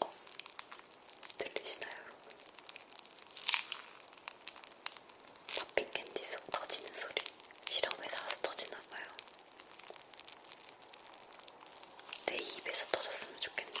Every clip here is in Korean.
어, 들리시나요, 여러분? 팝핑 캔디 속 터지는 소리. 시럽에 닿아서 터지나봐요. 내 입에서 터졌으면 좋겠는데.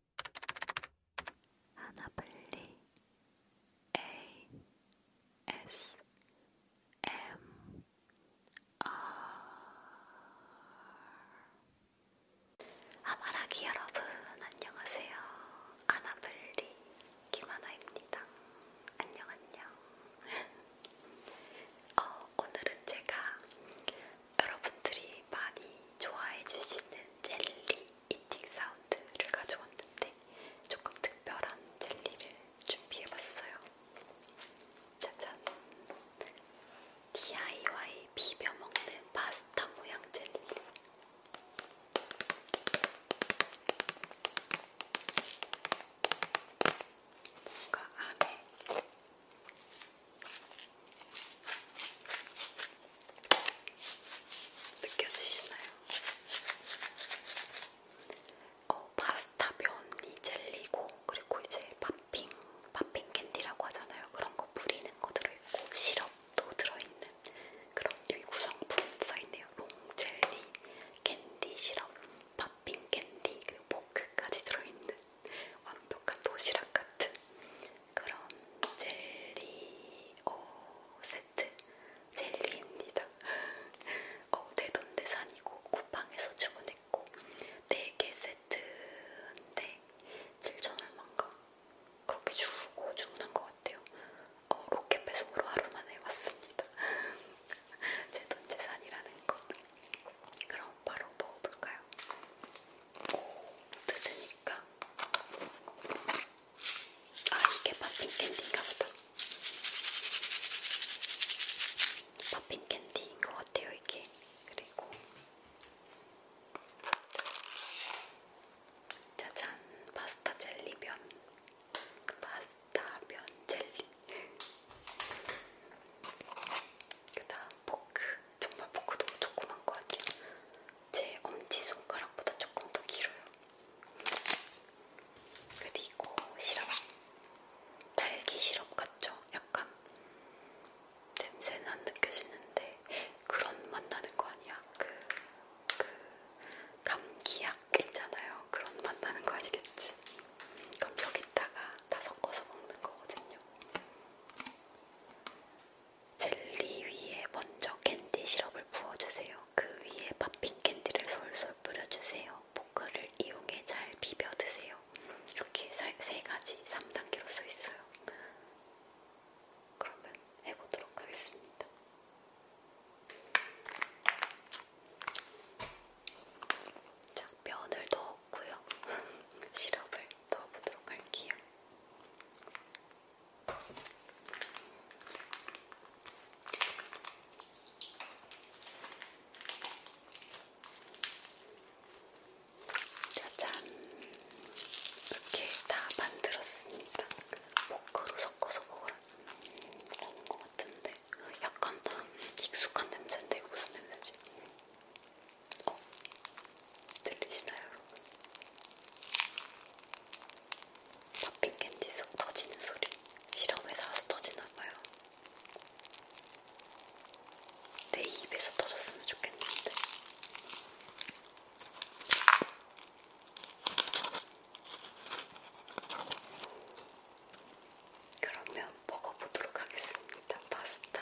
하나블리 ASMR 아마라기 여러분 안녕하세요. 아나블리 김하나입니다. 안녕 안녕. 어, 오늘은 제가 여러분들이 많이 좋아해 주시는 젤리 이팅 사운드를 가져왔는데 조금 특별한 젤리를 준비해봤어요. 짜잔! DIY 비벼먹는 파스타 모양 젤리. 뭔가 안에 느껴지시나요? 어, 파스타 면이 젤리고 그리고 이제 팝핑, 팝핑 캔디라고 하잖아요. 그런 거 뿌리는 거 들어있고 시럽도 들어있는 그런 여기 구성품 써있네요. 롱 젤리, 캔디 시럽, 팝핑 캔디 그리고 포크까지 들어있는 완벽한 도시락 같은 그런 젤리 어, 세트 젤리입니다. 어, 내돈내산이고 네 쿠팡에서 주문했고 4개 세트인데 7천 얼마인가 그렇게 주고 주문한 것 같아요. 어, 로켓 배송으로 하루 만에 왔습니다. 제 돈재산이라는 거. 그럼 바로 먹어볼까요? 오, 드시니까 아 이게 팝핀 캔디인가 보다. 팝핀 캔디인 것 같아요 이게. 그리고 짜잔 파스타 젤리 면 그 파스타 면 젤리. 그다음 포크 정말 포크 너무 조그만 것 같아요. 제 엄지손가락보다 조금 더 길어요. 그리고 시럽. 딸기 시럽 같죠? 약간 냄새는 안 느껴지는데 그런 맛 나는 거 아니야? 그, 그 감기약 있잖아요. 그런 맛 나는 거 아니겠지? 그럼 여기다가 다 섞어서 먹는 거거든요. 젤리 위에 먼저 캔디 시럽을 부어주세요. 그 위에 팝핑 캔디를 솔솔 뿌려주세요. 포크를 이용해 잘 비벼 드세요. 이렇게 세, 세 가지 3단계로 써 있어요. 그러면 해보도록 하겠습니다. 자, 면을 넣었고요. 시럽을 넣어보도록 할게요. 짜잔! 이렇게 다 만들었습니다. 포크로 섞어서 먹으라. 먹은 음, 것 같은데 약간 익숙한 냄새인데 이거 무슨 냄새지? 어? 들리시나요, 여러분? 팝핑 캔디 속 터지는 소리. 실험에 따라서 터지나봐요. 내 입에서 터졌으면 좋겠는데. 그러면 먹어보도록 하겠습니다. 파스타.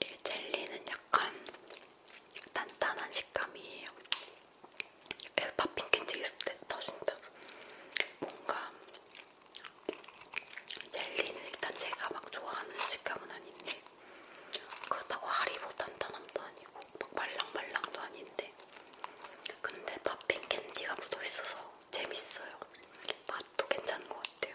이 젤리는 약간 단단한 식감이에요. 에어파핑캔지 있을 때 터진다. 뭔가 젤리는 일단 제가 막 좋아하는 식감은 아닌데 그렇다고 하리보 단단함도 아니고 막 말랑말랑도 아닌데 근데 팝핑 캔디가 묻어있어서 재밌어요. 맛도 괜찮은 것 같아요.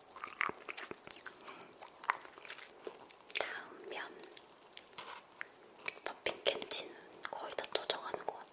다음 면 버핀 캔치는 거의 다 터져가는 것 같아요.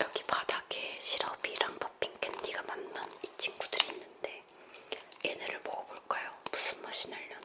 여기 바닥에 시럽이랑 버핑 캔디가 맞는 이 친구들이 있는데 얘네를 먹어볼까요? 무슨 맛이 날려나?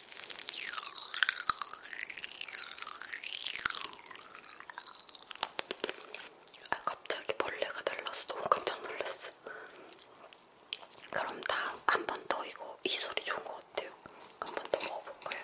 아 갑자기 벌레가 날라서 너무 깜짝 놀랐어. 그럼 다음 한 번 더 이거 이 소리 좋은 것 같아요. 한 번 더 먹어볼까요?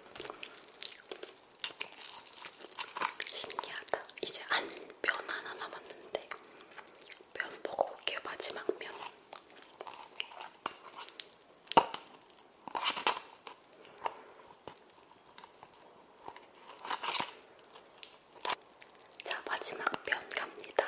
신기하다. 이제 안면 하나 남았는데 면 먹어볼게요. 마지막 면. 자, 마지막 면 갑니다.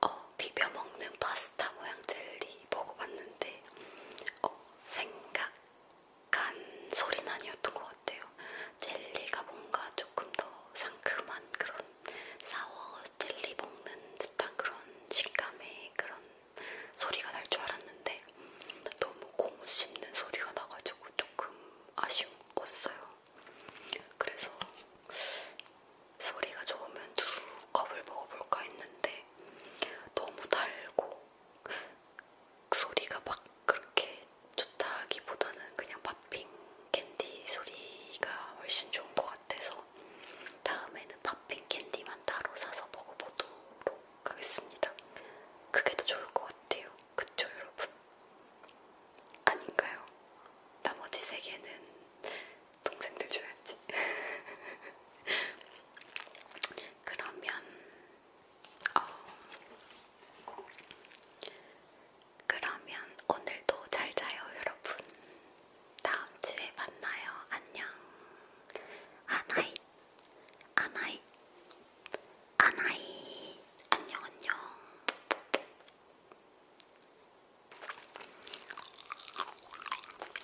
어, 비벼먹는 파스타 모양 젤리 먹어봤는데 어, 생각 약간 소리는 아니었던 것 같아요. 젤리가 뭔가 조금 더 상큼한 그런 사워 젤리 먹는 듯한 그런 식감의 그런 소리가 날 줄 알았는데 너무 고무 씹는 소리가 나가지고 조금 아쉬웠어요. 그래서 소리가 좋으면 두 컵을 먹어볼까 했는데 너무 달고 그 소리가 막 그렇게 좋다기보다는 그냥 팝핑 캔디 소리가 훨씬 좋은 것 같아서 다음에는 팝핑 캔디만 따로 사서 먹어보도록 하겠습니다. 그게 더 좋을 것 같아요. 그쵸, 여러분? 아닌가요? 나머지 세 개는 동생들 줘야지. 그러면 어, 그러면 오늘도 잘 자요, 여러분. 다음 주에 만나요. 안녕. 아나이, 아나이, 아나이. 안녕, 안녕.